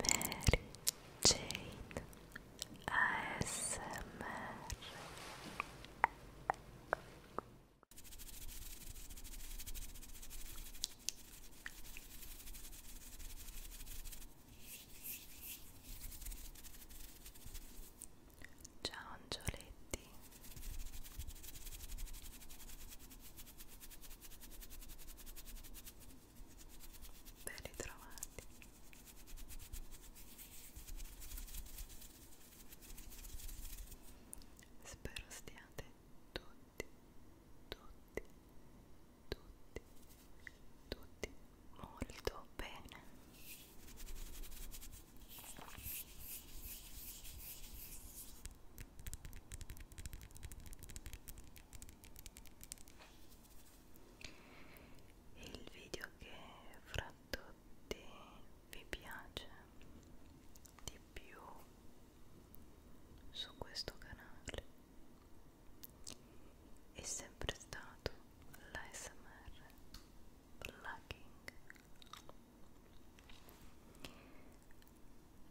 Mary Jane ASMR Ciao angioletti ben ritrovati spero stiate tutti tutti tutti tutti molto bene il video che fra tutti vi piace di più su questo canale è sempre stato l'ASMR Plucking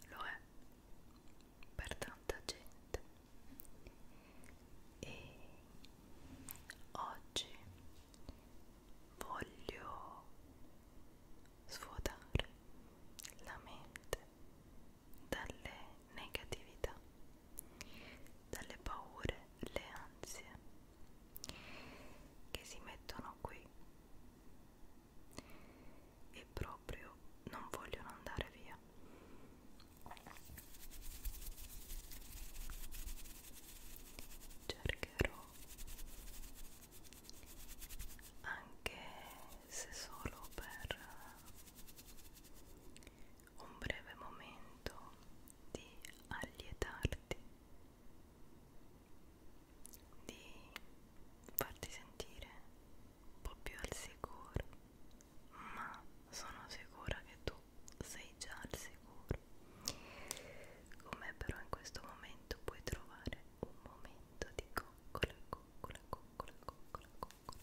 lo è per tanta gente e oggi voglio svuotare la mente dalle negatività dalle paure le ansie che si mettono qui e proprio non vogliono andare via. Cercherò anche se solo per un breve momento di allietarti, di farti sentire po' più al sicuro, ma sono sicura che tu sei già al sicuro. Come però in questo momento puoi trovare un momento di coccola, coccola, coccola, coccola, coccola.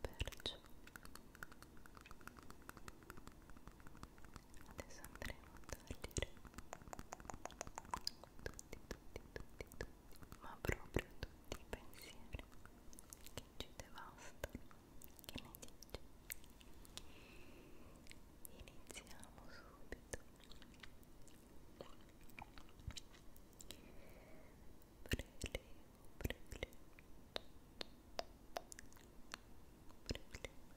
Perciò adesso andremo a togliere tutti, tutti, tutti, tutti, ma proprio tutti i pensieri che ci devastano, che ne dici? Iniziamo subito. Prelevo, prelevo. Prelevo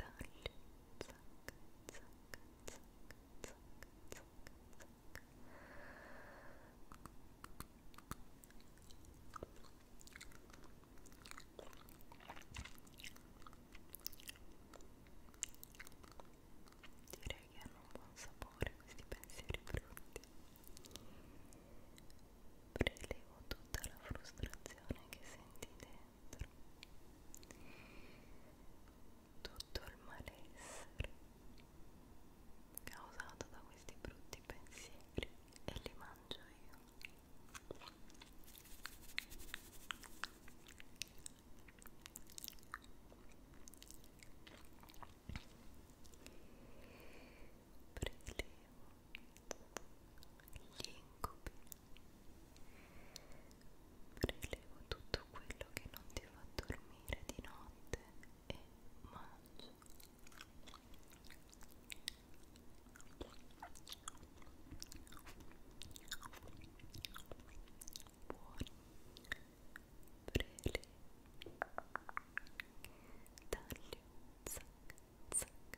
taglio zac, zac, zac, zac, zac, zac. Direi che hanno un buon sapore questi pensieri brutti. Prelevo tutta la frustrazione che sentite dentro tutto il malessere causato da questi brutti pensieri e li mangio io prelevo gli incubi Prelevo tutto quello che non ti fa dormire di notte e mangio. Buoni prelevo. Taglio, zac, zac.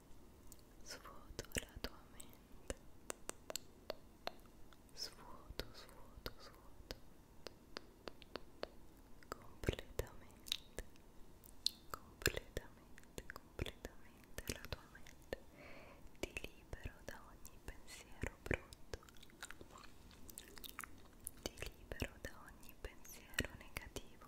svuoto la tua mente svuoto, svuoto, svuoto completamente completamente, completamente la tua mente ti libero da ogni pensiero brutto ti libero da ogni pensiero negativo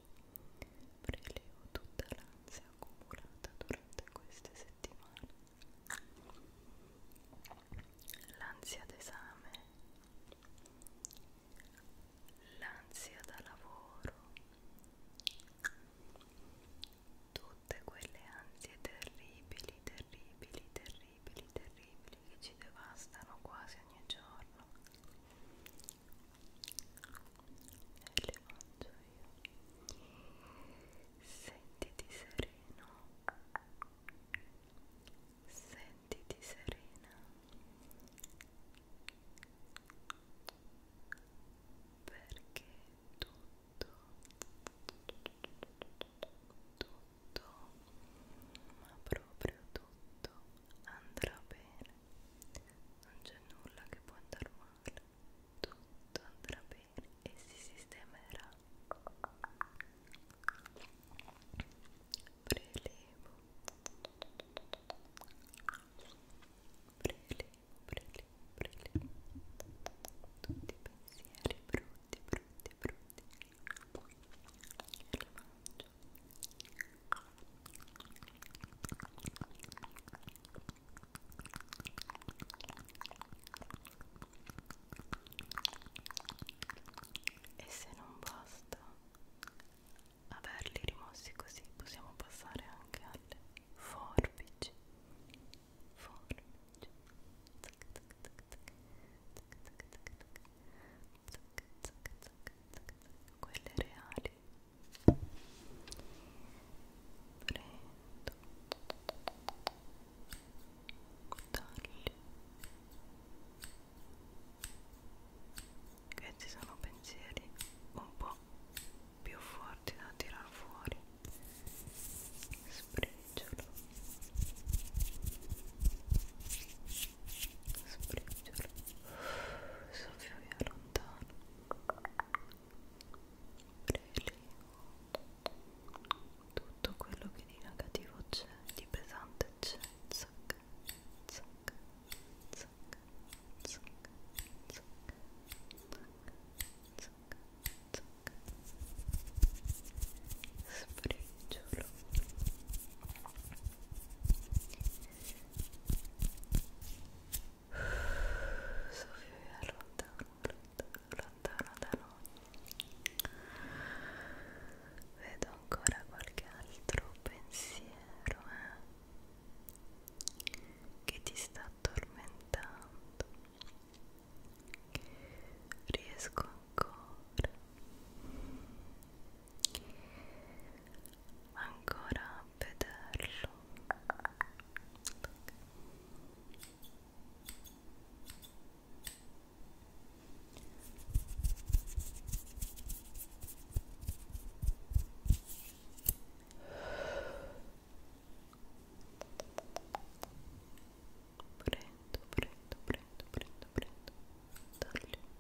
Prelevo tutta l'ansia accumulata durante queste settimane. L'ansia d'esame, l'ansia da lavoro, tutte quelle ansie terribili, terribili, terribili, terribili che ci devastano quasi ogni giorno le mangio io sentiti sereno sentiti serena perché tutto tutto ma proprio tutto andrà bene non c'è nulla che può andare male, tutto andrà bene e si sistemerà. Prelevo, prelevo, prelevo, prelevo. Tutti i pensieri brutti, brutti, brutti. Elevanti, e se non basta averli rimossi così, possiamo passare anche alle forbici. Forbici. Tac tac tac tac. Tac tac tac tac zac, zac, zac, zac, quelle reali prendo tagli questi sono pensieri un po' più forti da tirar fuori spriggiolo spriggiolo soffio via lontano prelevo tutto quello che di negativo c'è di pesante c'è zac, zac, zac, zac, zac, zac, zac. Sbriciolo Sofia è lontano, lontano da noi vedo ancora qualche altro pensiero eh, che ti sta tormentando riesco ancora ancora a vederlo prendo prendo prendo prendo prendo taglio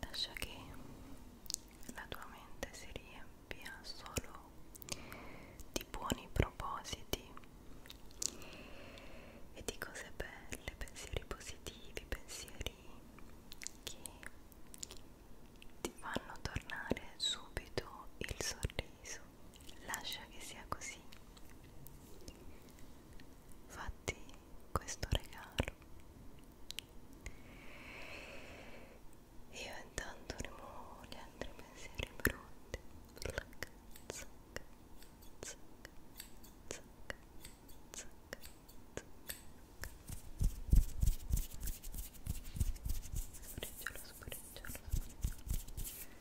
lascia che la tua mente si riempia solo di buoni propositi e di cose belle, pensieri positivi, pensieri che ti fanno tornare subito il sorriso. Lascia che sia così fatti questo regalo io intanto rimuovo gli altri pensieri brutti zac, zac, zac, zac, zac, zac. Spriggiolo, spriggiolo, spriggiolo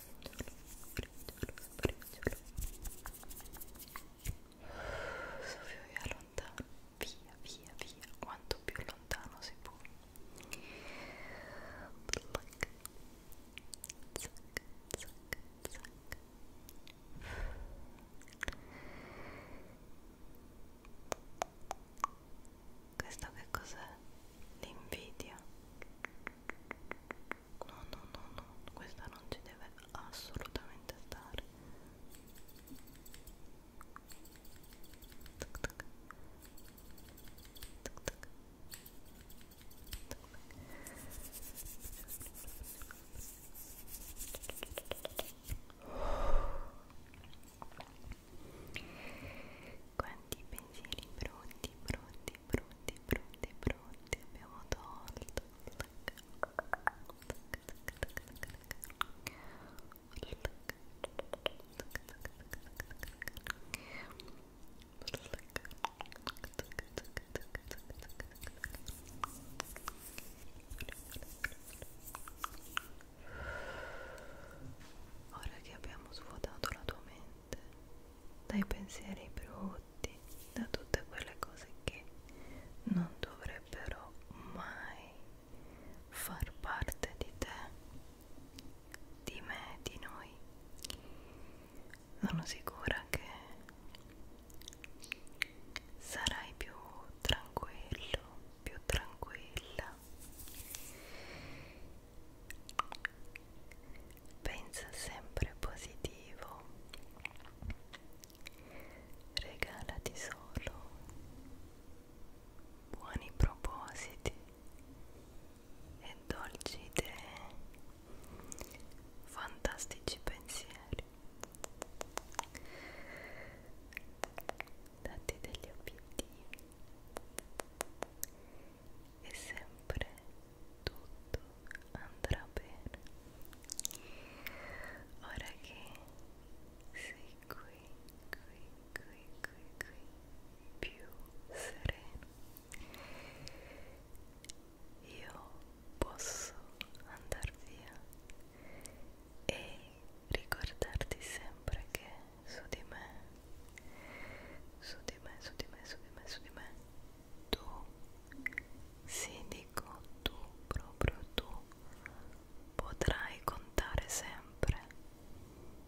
Spreggiolo, spreggiolo, spreggiolo via lontano, via, via, via, quanto più lontano si può Black. Zac, zac, zac. Questo che cos'è? L'invidia no no no no questa non ci deve assolutamente stare tuc, tuc. Tuc, tuc. Quanti pensieri brutti, brutti, pronti, pronti, pronti. Abbiamo tolto. Ora che abbiamo svuotato la tua mente mente, dai pensieri brutti, da tutte quelle cose che non dovrebbero mai far parte di te, di me, di noi. Sono sicura che sarai più tranquillo, più tranquilla pensa sempre positivo, regalati solo buoni propositi e dolci idee, fantastici pensieri. Datti degli obiettivi e sempre tutto andrà bene. Ora che sei qui, qui, qui, qui, qui, più sereno, io posso andar via e ricordarti sempre che su di me su di me su di me su di me su di me tu sì dico tu proprio tu potrai contare sempre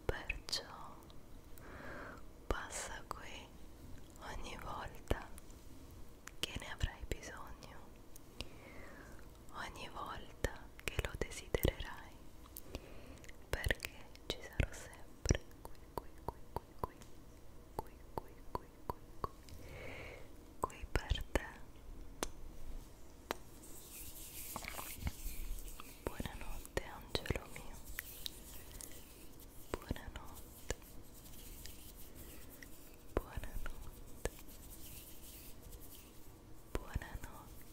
perciò passa qui ogni volta che ne avrai bisogno ogni volta che lo desidererai perché ci sarò sempre qui qui qui qui qui qui qui qui qui qui qui per te buonanotte angelo mio buonanotte buonanotte buonanotte